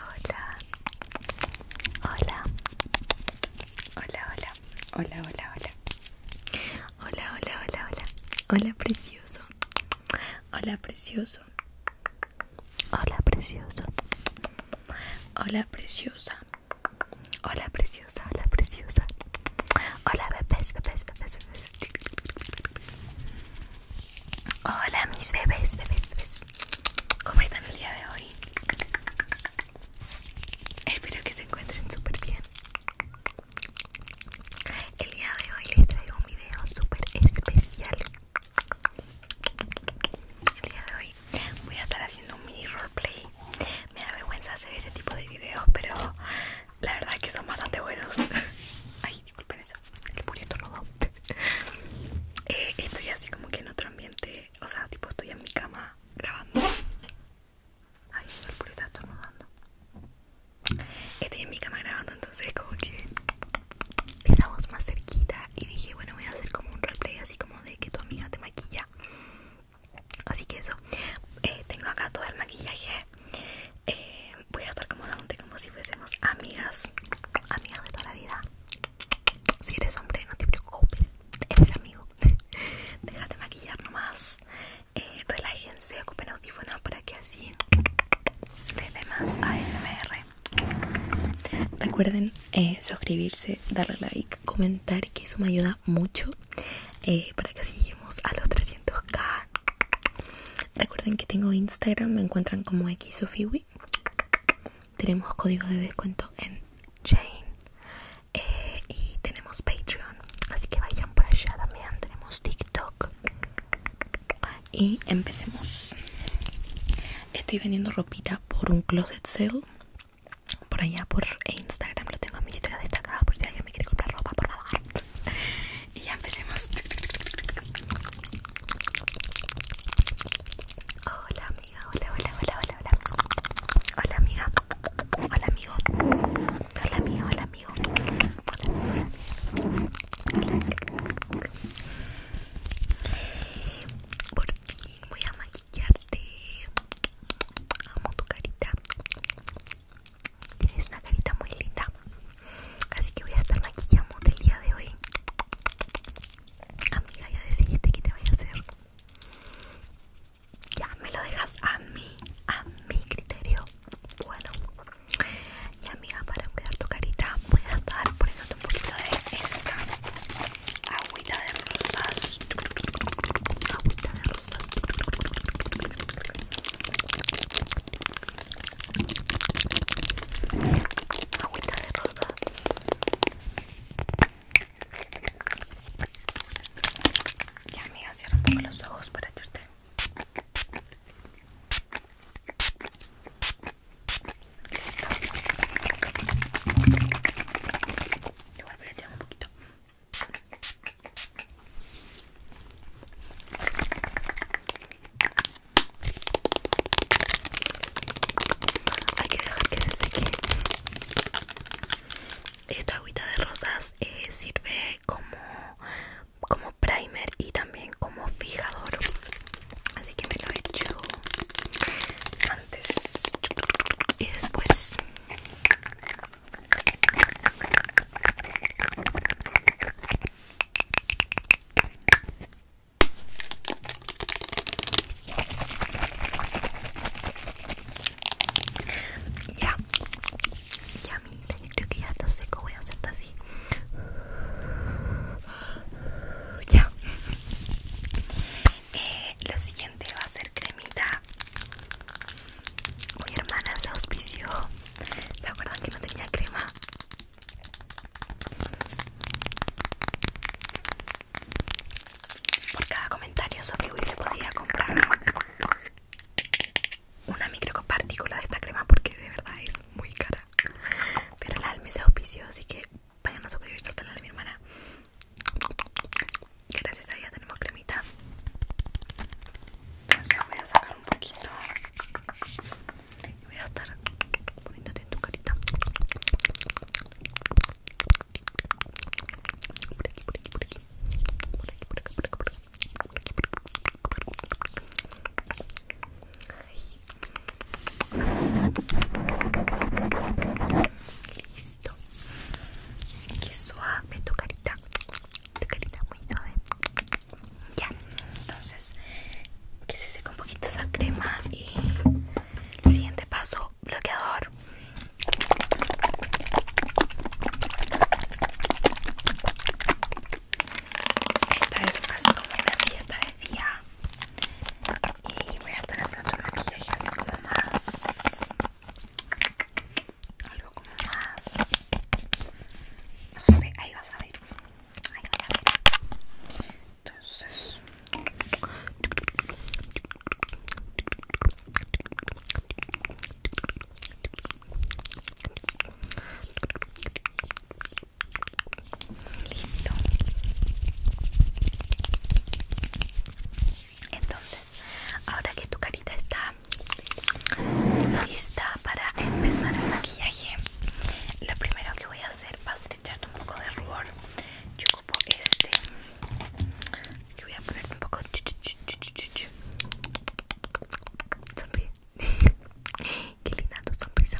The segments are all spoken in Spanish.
Hola. Hola. Hola, hola. Hola, hola, hola. Hola, hola, hola, hola. Hola, precioso. Hola, precioso. Hola, precioso. Hola, preciosa. Hola, preciosa. Hola, preciosa. Hola, bebés, bebés, bebés, bebés. Hola mis bebés, bebés, bebés. ¿Cómo están el día de hoy? Espero que se encuentren súper bien. El día de hoy les traigo un video súper especial. El día de hoy voy a estar haciendo un mini roleplay. Me da vergüenza hacer este tipo de videos, pero la verdad es que son bastante buenos ay disculpen eso el purito rodó eh, estoy así como que en otro ambiente o sea tipo estoy en mi cama grabando ay el purito está rodando estoy en mi cama grabando entonces como que voz más cerquita y dije bueno voy a hacer como un replay así como de que tu amiga te maquilla así que eso eh, tengo acá todo el maquillaje eh, voy a estar cómodamente como si fuésemos amigas, amigas de toda la vida. Si eres hombre, no te preocupes, eres amigo. Déjate maquillar nomás, eh, relájense, ocupen audífonos para que así Le dé más ASMR. Recuerden eh, suscribirse, darle like, comentar, que eso me ayuda mucho eh, para que así a los 300k Recuerden que tengo Instagram, me encuentran como Xofiwi. Tenemos código de descuento en Chain. Eh, y tenemos Patreon. Así que vayan por allá también. Tenemos TikTok. Y empecemos. Estoy vendiendo ropita por un closet sale. Por allá por Instagram. Lo tengo en mi historia destacado por si alguien Quiero quiere comprar ropa, por favor. Y ya empecemos. Hola amiga, hola, hola, hola, hola, hola. Hola amiga. Hola amigo. Hola amiga, hola amigo. Hola, Por fin voy a maquillarte. Amo tu carita. Tienes una carita muy linda. Así que voy a estar maquillando el día de hoy. Amiga, ya decidiste que te voy a hacer. Ya me lo dejas a mí, a mi criterio. Bueno, y amiga, para cuidar tu carita, voy a estar poniéndote un poquito de esta agüita de rosas. Agüita de rosas. Agüita de rosa. Y amiga, cierra un poco los ojos para echarte. Listo. Igual voy a echar un poquito. Hay que dejar que se seque. Esta agüita de rosas eh, sirve como, como primer y también como fijador. Así que me lo echo antes y después. Ya, ya mi creo que ya está seco, voy a hacerte así. Ya. Eh, lo siguiente va a ser cremita mi hermana se auspicio ¿Se acuerdan que no tenía crema? Por cada comentario sobre se podía comprar una micropartícula de esta crema porque de verdad es muy cara. Pero la Alme se auspició, así que vayan a suscribirse al canal de mi hermana Gracias a ella tenemos cremita. Entonces voy a sacar un poquito. Y voy a estar poniéndote en tu carita. Por aquí, por aquí, por aquí. aquí, por qué suave tu carita tu carita muy suave ya entonces que se seque un poquito esa crema y el siguiente paso bloqueador esta es paso como una fiesta de día y voy a estar haciendo otro maquillaje así como más algo como más no sé ahí vas a ver ahí vas a ver entonces Listo. Entonces, ahora que tu carita está lista para empezar el maquillaje, lo primero que voy a hacer va a ser echarte un poco de rubor. Yo ocupo este, que voy a poner un poco. Sonríe. Qué linda tu sonrisa.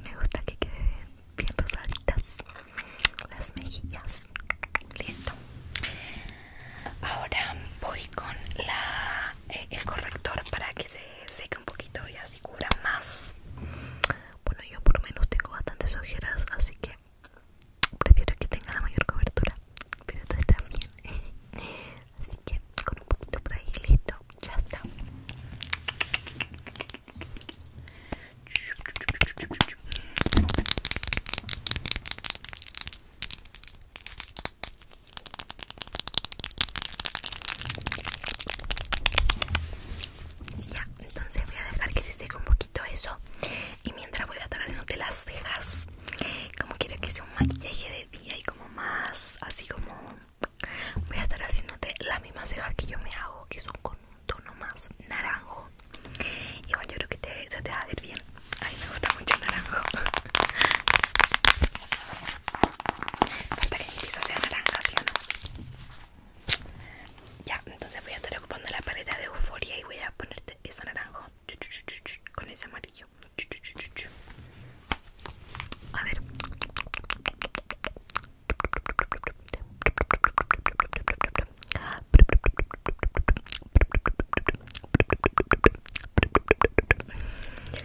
Me gusta que queden bien rosaditas las mejillas. Listo. Ahora voy con eh, el corrector para que se seque un poquito y así cubra más. Bueno, yo por lo menos tengo bastantes ojeras, así que prefiero que tenga la mayor cobertura pero esto está bien así que con un poquito por ahí listo ya está entonces voy a dejar que se seque un poquito eso y mientras voy a estar haciéndote las cejas como quiero que sea un maquillaje de día y como más así como voy a estar haciéndote las mismas cejas que yo me hago que son con un tono más naranjo igual yo creo que te, se te va a ver bien A mí me gusta mucho el naranjo que mi a sea naranja ¿sí o no? Ya, entonces voy a estar ocupando la paleta de euforia y voy a ponerte ese naranjo con ese amarillo. A ver.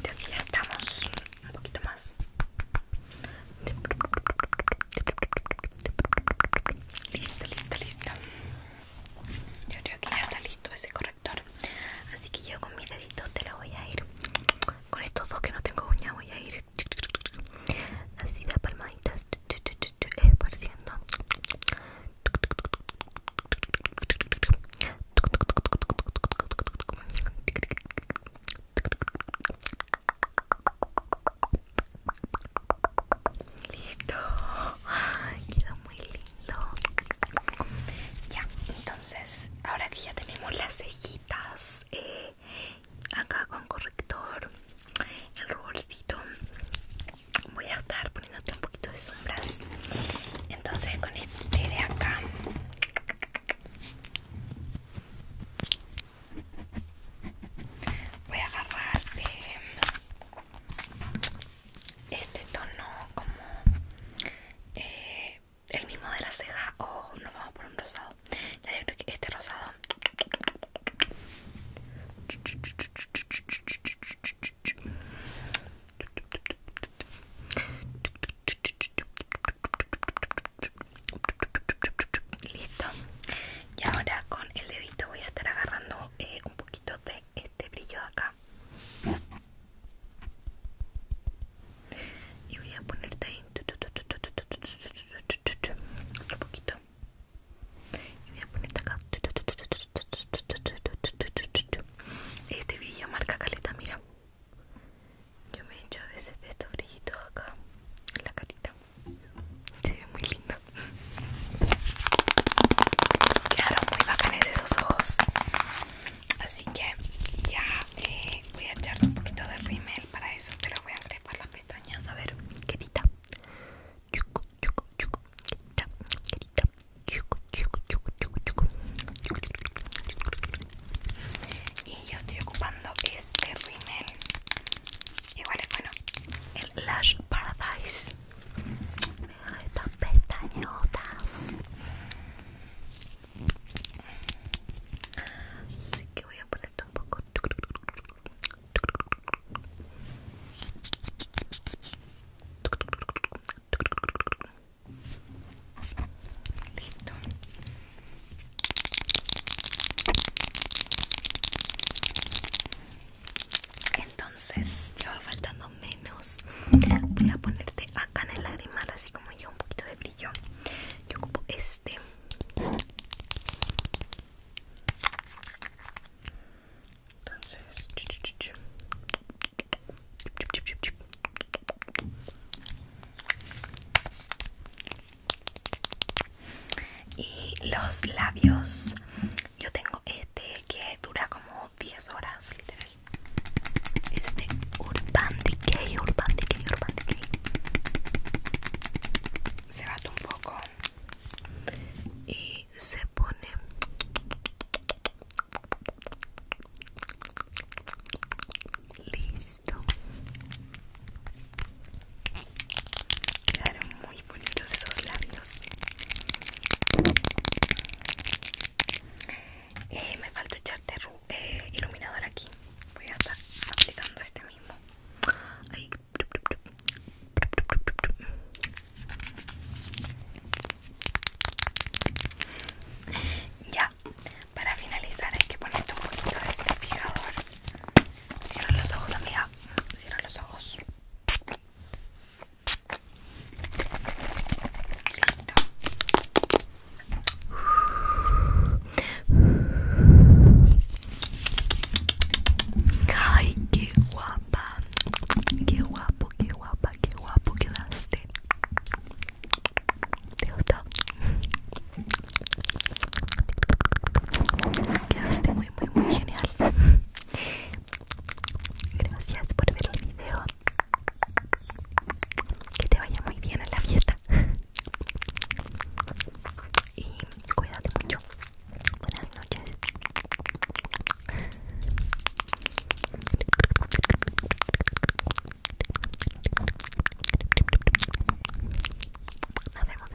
Ya ya estamos un poquito más. Listo, listo, listo. Yo creo que ya está listo ese corrector. Así que yo con mi dedito te lo voy a ir. Con estos dos que no tengo uña voy a ir así de palmaditas esparciendo. Listo. quedó muy lindo. Ya, entonces, ahora que ya tenemos las cejitas, eh, acá con corrector, el ruborcito, voy a estar poniéndote un poquito de sombras. Entonces, con este de acá voy a agarrar eh, este tono como eh, el mismo de la ceja o oh, nos vamos por un rosado ya que este rosado Listo. Y ahora con el dedito voy a estar agarrando un poquito de este brillo de acá. Y voy a ponerte ahí otro poquito. Y voy a ponerte acá. Este brillo marca caleta, mira. Yo me he a veces de estos brillitos acá en la carita. Se ve muy lindo. Quedaron muy bacanes esos ojos. Así que ya eh, voy a echar un poquito de rímel para eso. Pero voy a encrespar las pestañas. A ver, querida. Yucu, yucu, yucu. Querida, chucu chucu yucu, yucu, yucu, yucu y yo estoy ocupando este rimel igual es bueno el Lash Paradise Me Mira estas pestañotas así que voy a poner un poco Listo. Entonces ya va faltando menos. Voy a ponerte acá en el lagrimal, así como yo, un poquito de brillo. Yo ocupo este. Entonces, y los labios, yo tengo este que dura como 10 horas, literal. Este Urban Decay, Urban Decay, Urban Se bate un poco y se pone Listo. Quedaron muy bonitos esos labios. Eh, me falta echarte eh, iluminador aquí. Voy a estar aplicando este mismo. Ahí. Ya, para finalizar hay que ponerte un poquito de este fijador. Cierra los ojos, amiga. Cierra los ojos. Listo. Ay, qué guapa. Qué guapo, qué guapa, qué guapo quedaste. ¿Te gustó? Quedaste muy, muy, muy genial. Gracias por ver el video. Que te vaya muy bien en la fiesta. Y cuídate mucho. Buenas noches. Nos vemos en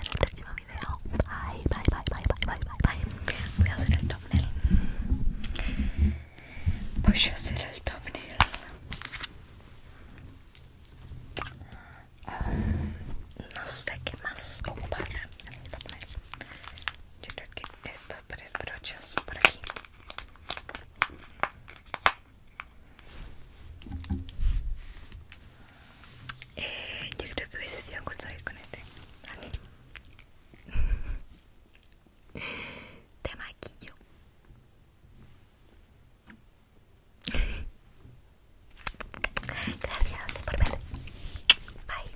el próximo video. Bye, bye, bye, bye, bye, bye, bye, bye. Voy a hacer el thumbnail. Voy a hacer el thumbnail. Ah, no sé qué más ocupar en el Yo creo que esto tres brochas por aquí eh, yo creo que hubiese sido conseguir con este te maquillo gracias por ver bye